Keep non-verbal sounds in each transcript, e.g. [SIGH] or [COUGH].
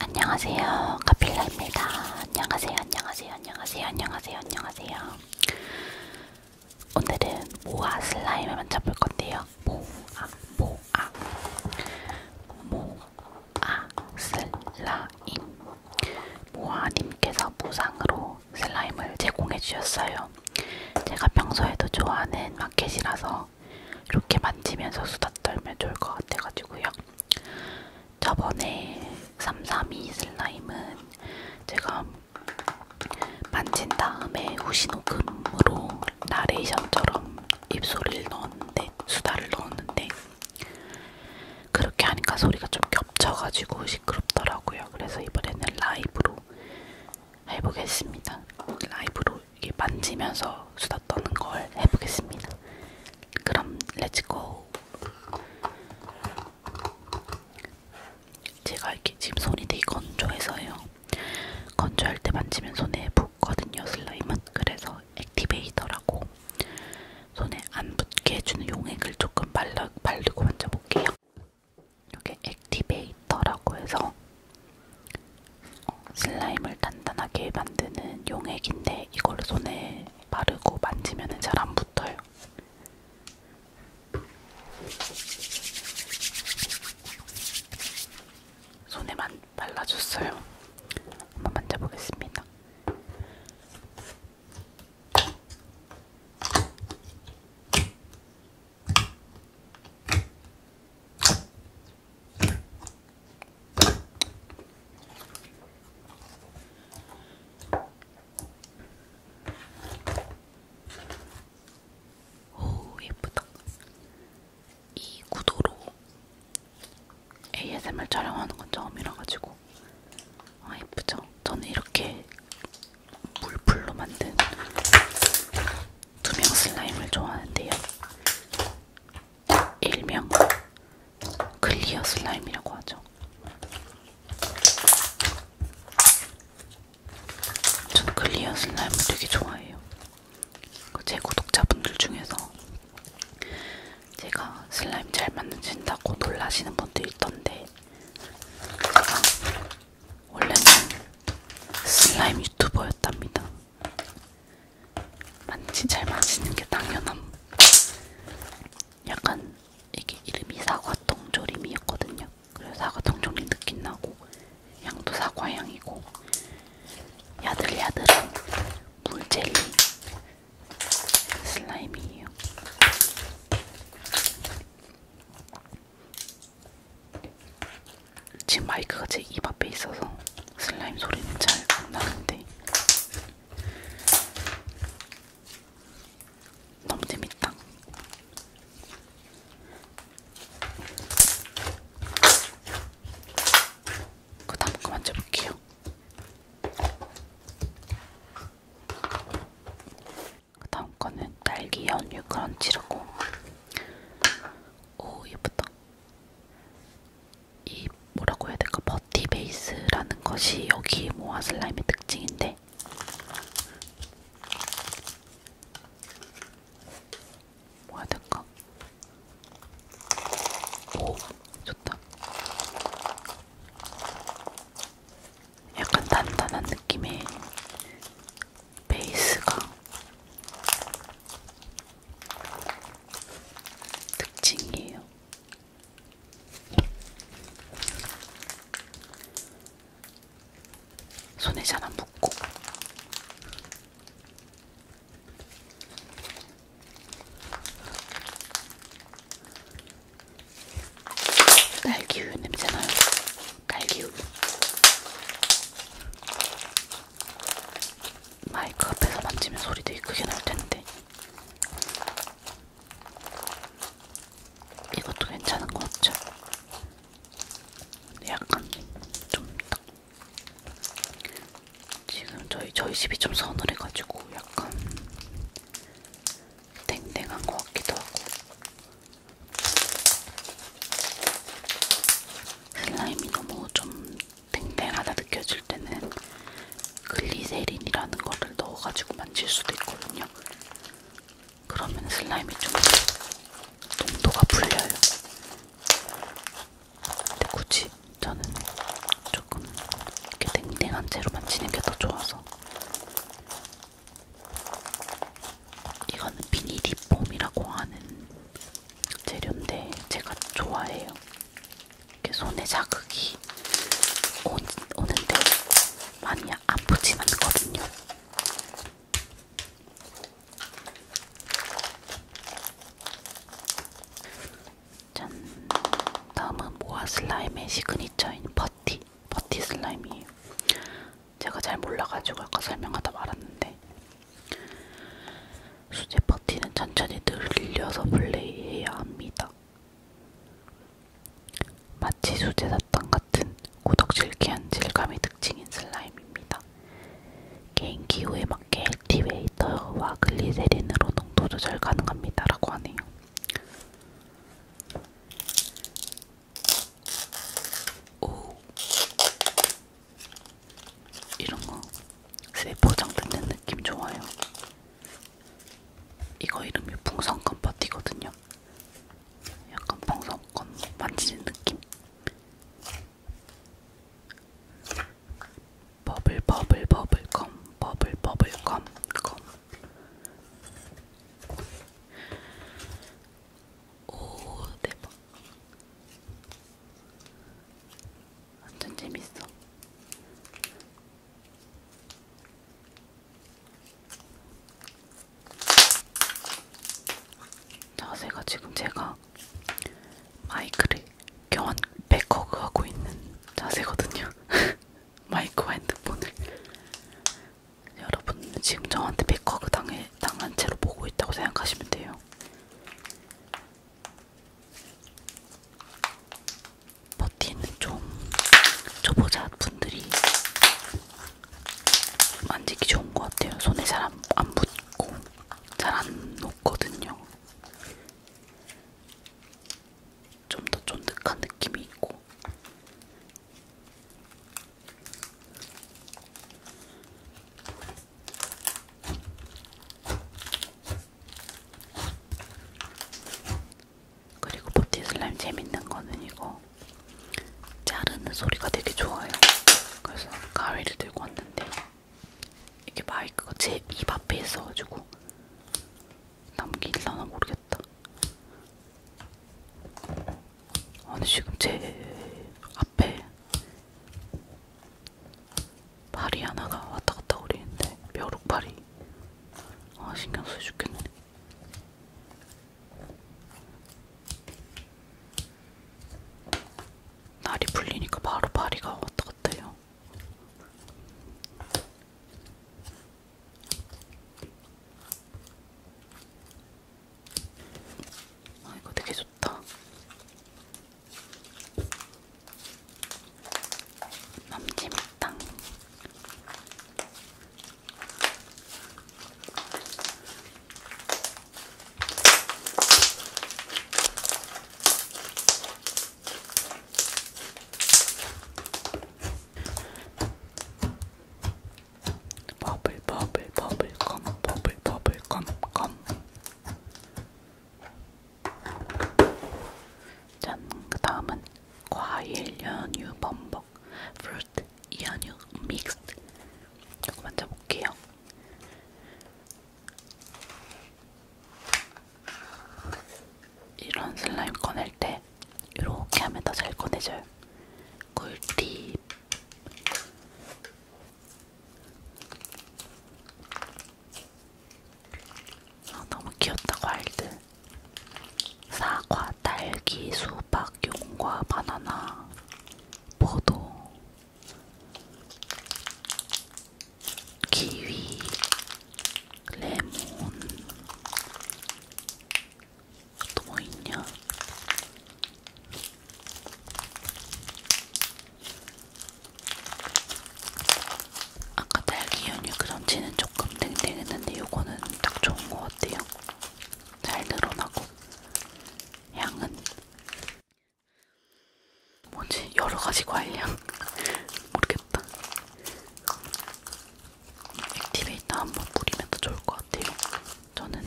안녕하세요. 카필라입니다. 안녕하세요. 안녕하세요. 안녕하세요. 안녕하세요. 안녕하세요. 오늘은 모아 슬라임을 만져볼 건데요. 모아 모아 모아 슬라임 모아님께서 보상으로 슬라임을 제공해 주셨어요. 제가 평소에도 좋아하는 마켓이라서 이렇게 만지면서 수다 떨면 좋을 것 같아가지고요. 저번에 332 슬라임은 제가 만진 다음에 후시녹음으로 나레이션처럼 입소리를 넣었는데 수다를 넣었는데 그렇게 하니까 소리가 좀 겹쳐가지고 시끄럽더라고요. 그래서 이번에는 라이브로 해보겠습니다. 라이브로 이게 만지면서 수다 떠는 걸 해보겠습니다. 그럼 렛츠고! 제가 이렇게 지금 손이 되게 건조해서요. 건조할 때 만지면 손에 붙거든요, 슬라임은. 그래서 액티베이터라고 손에 안 붙게 해주는 용액을 조금 발라, 바르고 만져볼게요. 이게 액티베이터라고 해서 어, 슬라임을 단단하게 만드는 용액인데 이걸 손에 바르고 만지면 잘 안 붙어요. 손에만 발라줬어요. 한번 만져보겠습니다. 오 예쁘다. 이 구도로 ASMR 촬영하는 건 처음이라 가지고 아 예쁘죠? 저는 이렇게 물풀로 만든 투명 슬라임을 좋아하는데요. 일명 클리어 슬라임이라고 하죠. 전 클리어 슬라임을 되게 좋아해요. 그 제 구독자분들 중에서 제가 슬라임 잘 만드신다고 놀라시는 분들 있던데 제가 원래는 슬라임 유튜버였답니다. 만취 잘 마시는 게 당연함. 약간 이게 이름이 사과 통조림이었거든요. 그래서 사과 통조림 느낌 나고 향도 사과 향이고 야들야들한 물젤리 슬라임이에요. 지금 마이크가 제 입 앞에 있어서 슬라임 소리는 잘 안 나는데 너무 재밌다. 그 다음 거 만져볼게요. 그 다음 거는 딸기 연유 크런치라고. 오 예쁘다. 이 뭐라고 해야 될까 버티 베이스라는 것이 여기 모아 슬라임의 특징인데 뭐야 될까? 오 좋다. 약간 단단한 느낌의 베이스가 특징이에요. 손에 잘안 묻고 딸기우유 냄새나요. 딸기우유. 마이크 앞에서 만지면 소리 되게 크게 날 텐데. 이것도 괜찮은 것 같죠? 약간 좀 딱. 지금 저희 저희 집이 좀 서늘해가지고 약간 땡땡한 것 같기도 하고. 슬라임이 너무 좀 팽팽하다 느껴질 때는 글리세린이라는 거를 넣어가지고 만질 수도 있거든요. 그러면 슬라임이 좀 농도가 풀려요. 근데 굳이 저는 조금 이렇게 댕댕한 채로 만지는 게 더 좋아서 이거는 비닐이 폼이라고 하는 재료인데 제가 좋아해요. 이렇게 손에 자극이 오, 오는데 많이 아프진 않거든요. 짠! 다음은 모아 슬라임의 시그니처인 버티, 버티 슬라임이에요. 제가 잘 몰라가지고 아까 설명하다 말았는데 수제 파티는 천천히 늘려서 플레이해야 합니다. 마치 수제 사탕 같은 고덕질기한 질감이 특징인 슬라임입니다. 개인 기호에 맞게 액티베이터와 글리세린으로 농도 조절 가능합니다. 라고 하네요. 오, 이런 거 세포장 듣는 느낌 좋아요. 이거 이름이 풍선껌 파티거든요. 약간 풍선껌 만지는 느낌. 버블 버블 버블껌 버블 버블껌 껌. 오 대박. 완전 재밌어. 자세가 지금 제가 마이크를 교환 백허그 하고 있는 자세거든요. [LAUGHS] 마이크와 핸드폰을 여러분은 지금 저한테 백허그 당해, 당한 채로 보고 있다고 생각하시면 돼요. 버티는 좀 초보자 분들이 만지기 좋은 것 같아요. 손에 잘안 안 붙고 잘안 녹거든요. 좀 더 쫀득한 느낌이 있고 그리고 보티 슬라임 재밌는 거는 이거 자르는 소리가 되게 좋아요. 그래서 가위를 들고 왔는데 이게 마이크가 제 입 앞에 있어가지고 남길려나 모르겠다. 아니 지금 제 앞에 파리 하나가 왔다갔다 거리는데 벼룩파리 아 신경쓰여 죽겠네 날이 풀리니까 바로 파리가 왔다갔다 해요 아, 이거 되게 좋다. 넘치밀당. 버블 버블 버블 컴 버블 버블 컴컴 짠! 그 다음은 과일 연유 범벅 프루트 연유 믹스드 이거 만져볼게요 이런 슬라임 꺼낼 때 이렇게 하면 더 잘 꺼내져요 꿀팁 아, 너무 귀엽다 과일들 사과, 딸기, 수박, 용과, 바나나, 포도, 키위, 레몬 또 뭐 있냐? 아까 딸기 연유 크런치는 조금 땡땡했는데 요거는 딱 좋은 것 같아요. 잘 늘어나고 향은 뭐지 여러 가지 과일 향 [LAUGHS] 모르겠다. 액티베이터 한 번 뿌리면 더 좋을 것 같아요. 저는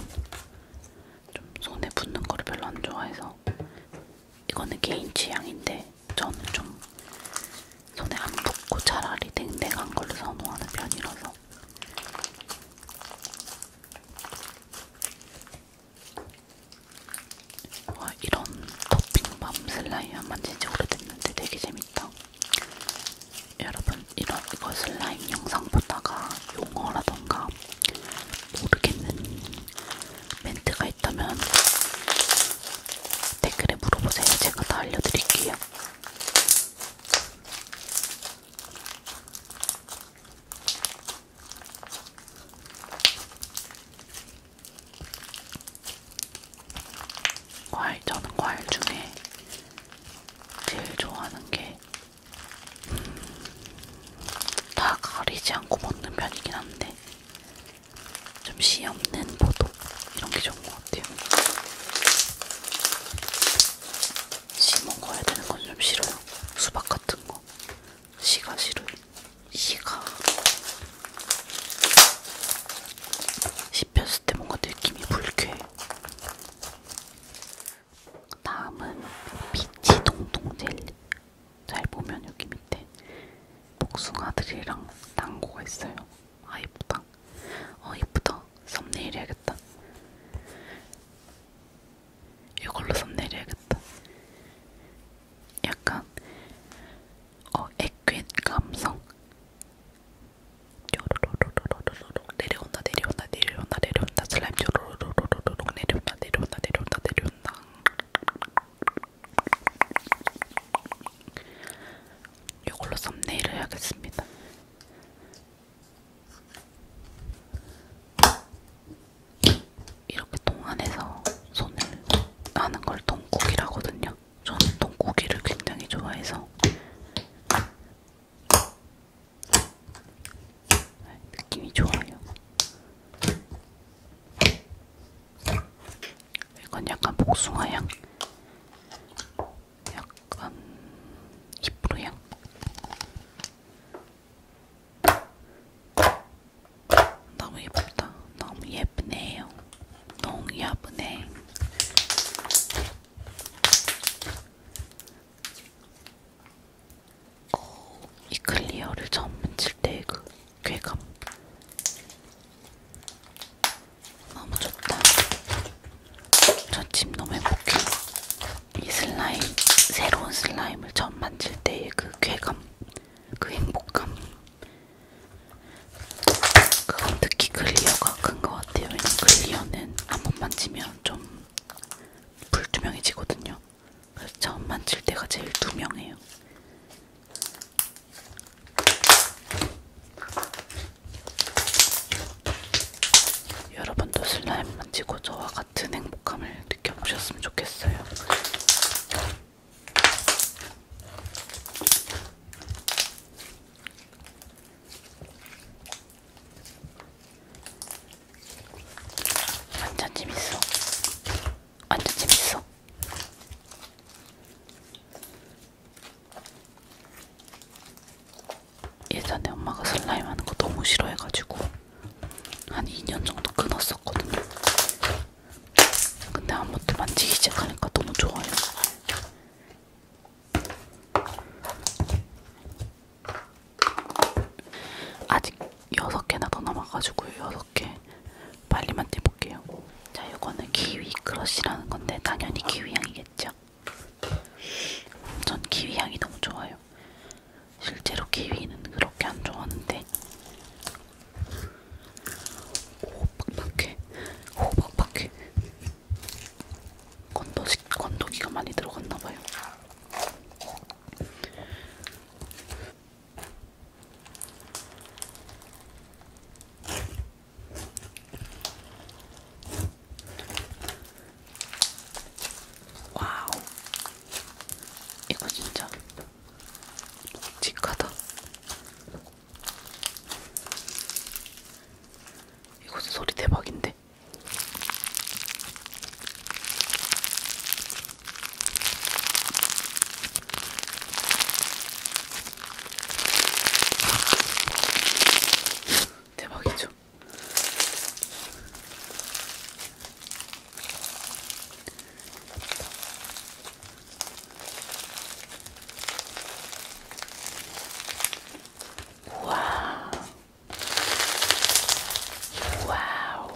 좀 손에 붙는 거를 별로 안 좋아해서 이거는 개인 취향인데 저는 좀 손에 안 붙고 차라리 댕댕한 걸로 선호하는 편이라서 와 이런 토핑밤 슬라임 안 만진 지 오래됐는데 되게 재밌다 여러분 여러분 이런 이거 슬라임 영상 보다가 용어라던가 모르겠는 멘트가 있다면 댓글에 물어보세요. 제가 다 알려드릴게요. 과일 저는 과일 중에 제일 좋아하는 게다 가리지 않고 먹는 편이긴 한데 좀 씨 없는 포도 이런 게 좋은 것 같아요. 씨 먹어야 되는 건 좀 싫어요. 수박 같은 거 씨가 싫어요. 씨가 씹혔을 때 뭔가 느낌이 불쾌해. 다음은 비치 동동 젤리. 잘 보면 여기 밑에 복숭아들이랑 당고가 있어요. 아 이쁘다. 어 이쁘다. 썸네일 해야겠다. 이걸로 썸네일 해야겠다. 약간 어 액괴 감성. 요로로로로로 쪼로로록 내려온다 내려온다 내려온다 내려온다 슬라임 쪼로로로록 내려온다 내려온다 내려온다 내려온다 이걸로 썸네일을 해야겠습니다. 이렇게 통 안에서 손을 하는 걸 동국이라거든요. 저는 동국이를 굉장히 좋아해서 느낌이 좋아요. 이건 약간 복숭아향, 약간 히브루향. 너무 예쁘다. 너무 예쁘네요. 너무 예쁘네. 어, 이 클리어를 처음 만질 때그 쾌감 너무 좋다. 전집 너무 행복해. 이 슬라임, 새로운 슬라임을 처음 만질 때의 그 쾌감, 그 행복감. 그건 특히 클리어가 큰것 같아요. 왜냐면 클리어는 한번 만지면 좀 불투명해지거든요. 그래서 처음 만질 때가 제일 투명해요. 여러분도 슬라임 만지고 저와 같은 행복함을 느껴보셨으면 좋겠어요. 완전 재밌어. 완전 재밌어. 예전에 엄마가 슬라임 하는 거 너무 싫어해가지고 한 2년 정도 끊었었거든요. 근데 아무튼 만지기 시작하니까 너무 좋아요. 아직 6개나 더 남아가지고 6개 빨리만 떼볼게요. 자, 이거는 키위 크러쉬라는 건데 당연히 키위 향이겠죠? 전 키위 향이 너무 좋아요. 실제로 키위는 그렇게 안 좋아하는데 오 빡빡해 오 빡빡해 건도, 건도기가 많이 들어갔나봐요. 와우, 이거 진짜 묵직하다. 이거 소리 대박인데. 네. 대박이죠. 우와. 와우.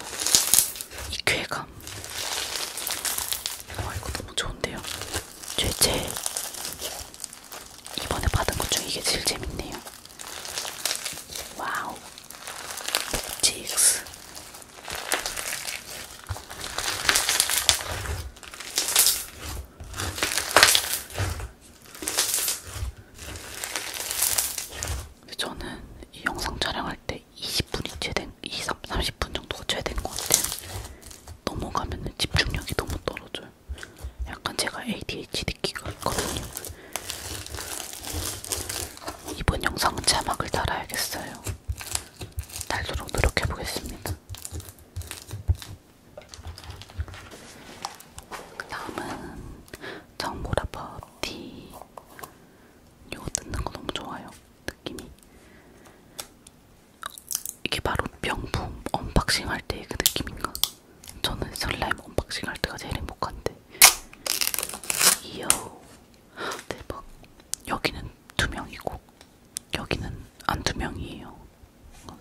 이 쾌감. 와, 아, 이거 너무 좋은데요? 제, 제, 이번에 받은 것 중에 이게 제일 재밌네요. 와우. 묵직스. 저는 이 영상 촬영할 때 20분이 최된, 20, 30분 정도가 최대인 것 같아요. 넘어가면 집중력이 너무 떨어져요. 약간 제가 ADHD 기가 있거든요. 이번 영상 자막을 달아야겠어요. 달도록 노력해보겠습니다. 그 다음은 정보라법 티. 이거 듣는 거 너무 좋아요. 느낌이. 이게 바로 명품 언박싱 할 때의 그 느낌인가? 저는 슬라임 언박싱 할 때가 제일 행복한데. 이요. 대박. 여기는 두 명이고, 여기는 안 두 명이에요.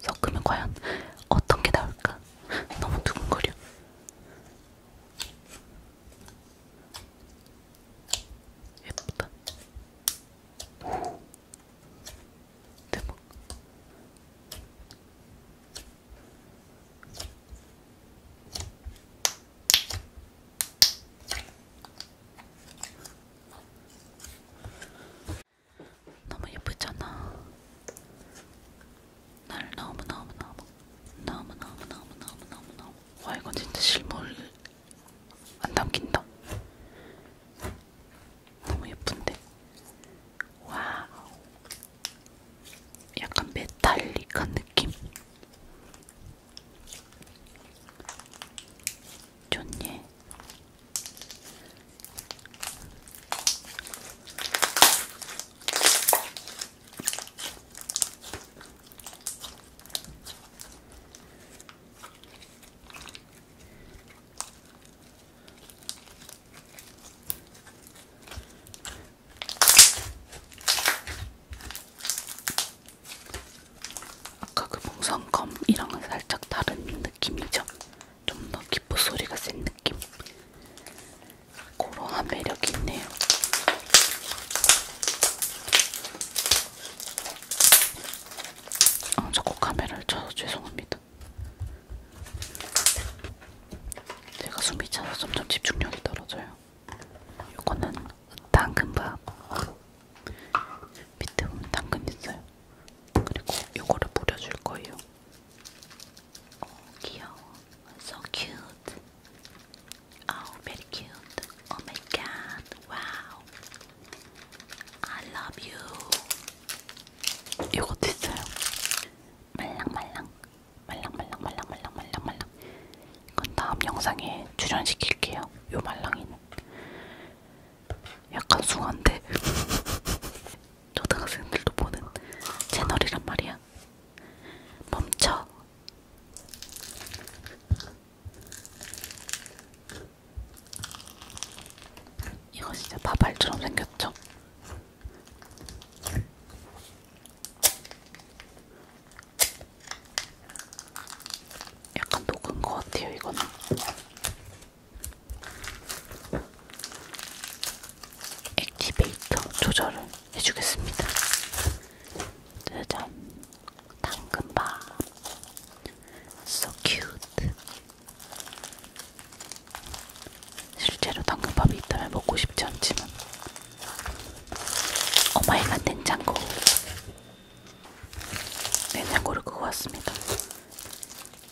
섞으면 과연 어떤 게 나올까? 너무 두근거려. 예쁘다. 대박. 너무 예쁘잖아. 날 너무 너무 너무 너무 너무 너무 너무 너무 너무 와 이건 진짜 실물 안 담긴다. 너무 예쁜데. 와 약간 메탈릭한 느낌. 좋니? 아까 그 봉선검이랑은 살짝 다른 느낌이죠. 좀더 기포 소리가 센 느낌. 그런 매력이 있네요. 아, 자꾸 카메라를 쳐서 죄송합니다. 제가 숨이 차서 점점 집중력이 떨어져요. 이거는 당근밥. 밑에 보면 당근 있어요. 그리고 요거를 뿌려줄 거예요. 오, 어, 귀여워. So cute. Oh, very cute. Oh my god. Wow. I love you. 이것도 있어요. 말랑말랑. 말랑말랑 말랑말랑 말랑말랑. 이건 다음 영상에 출연시킬게요. 요 말랑이는. 약간 숭한데 [LAUGHS] 초등학생들도 보는 채널이란 말이야. 멈춰. 이거 진짜 밥알처럼 생겼죠? 약간 녹은 것 같아요, 이거는. 액티베이터 조절을 해주겠습니다. 짜잔. 당근밥. So cute. 실제로 당근밥이 있다면 먹고 싶지 않지만. 어마이갓 냉장고. 냉장고를 끄고 왔습니다.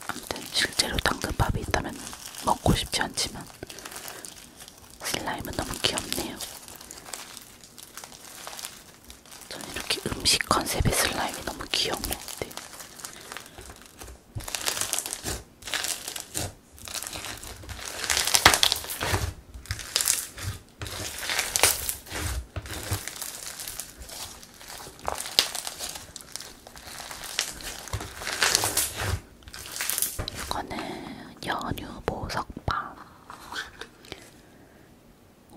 아무튼 실제로 당근밥이 있다면 먹고 싶지 않지만 슬라임은 너무 귀엽네요. 전 이렇게 음식 컨셉의 슬라임이 너무 귀여운 것 같아요. 이거는 연유 보석바.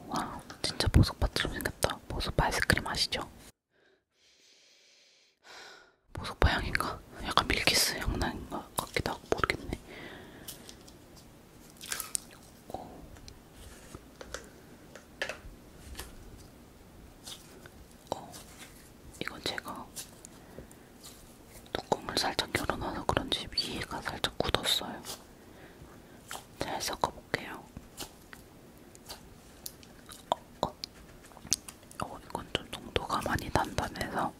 와, 진짜 보석바처럼 생겼다. 보석바 아이스크림 아시죠? 보석바 향인가? 약간 밀키스 향 나는 것 같기도 하고 모르겠네. 있고 어, 이건 제가 뚜껑을 살짝 열어놔서 그런지 위에가 살짝 굳었어요. 잘 섞어볼게요. 어, 어. 어 이건 좀 농도가 많이 단단해서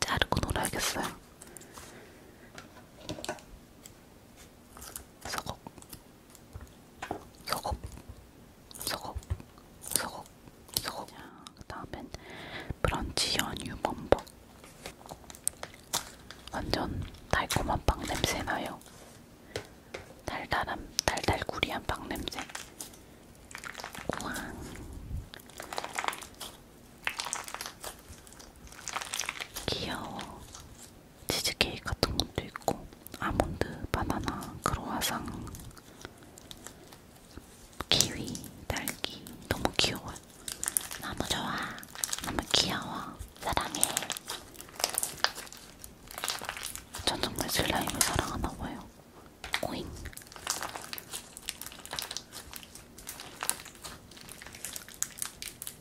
자르고 놀아야겠어요. 소곡 소곡 소곡 소곡 소곡 그 다음엔 브런치 연유 범벅 완전 달콤한 빵 냄새 나요 달달한 달달구리한 빵 냄새 우왕 귀여워. 치즈케이크 같은 것도 있고, 아몬드, 바나나, 크로아상, 키위, 딸기. 너무 귀여워요. 너무 좋아. 너무 귀여워. 사랑해. 전 정말 슬라임을 사랑하나봐요. 오잉.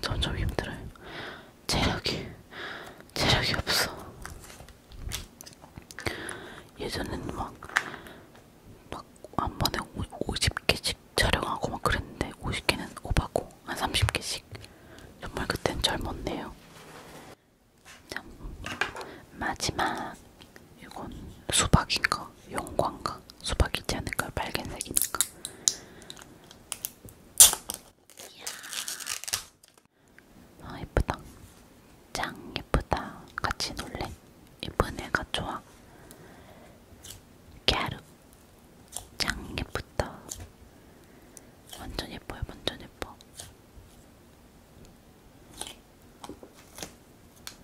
전좀 힘들어요. 체력이 체력이 없어. 예전에는 막 막 한 번에 50개씩 촬영하고 막 그랬는데 50개는 오바고 한 30개씩. 정말 그땐 젊었네요. 참. 마지막 이건 수박인가 수박인가 용과인가 수박이지 않을까요? 빨간색이니까 이야 아 어, 예쁘다 짱 예쁘다 같이 놀래 예쁜 애가 좋아 갸루 짱 예쁘다 완전 예뻐요 완전 예뻐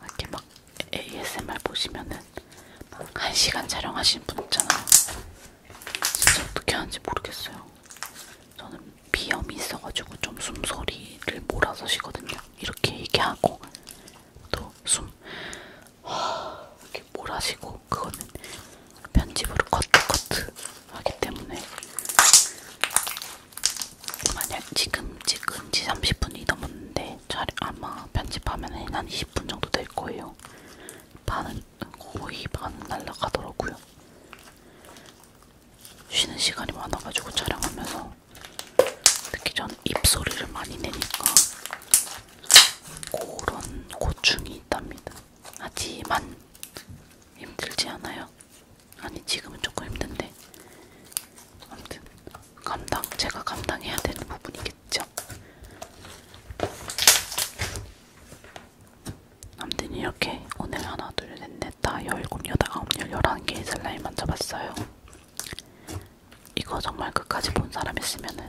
이렇게 막 ASMR 보시면은 한 시간 촬영하시는 분 있잖아요. 진짜 어떻게 하는지 모르겠어요. 저는 비염이 있어가지고 좀 숨소리를 몰아서 쉬거든요. 이렇게 얘기하고 또숨 이렇게 몰아시고 그거는 편집으로 커트 커트 하기 때문에 만약 지금 지금 지 30분이 넘었는데 잘 아마 편집하면 한 20분 정도 될 거예요. 반은 거의 반은 날라가더라고요. 쉬는 시간이 많아가지고 촬영하면서 특히 전 입소리를 많이 내니까 그런 고충이 있답니다. 하지만 힘들지 않아요? 아니 지금은 조금 힘든데 아무튼 감당 제가 감당해야 되는 부분이겠죠. 아무튼 이렇게 오늘 하나 둘셋넷다 열곱 여덟 아홉 열 열한 개의 슬라임 만져봤어요. 이거 정말 끝까지 본 사람 있으면은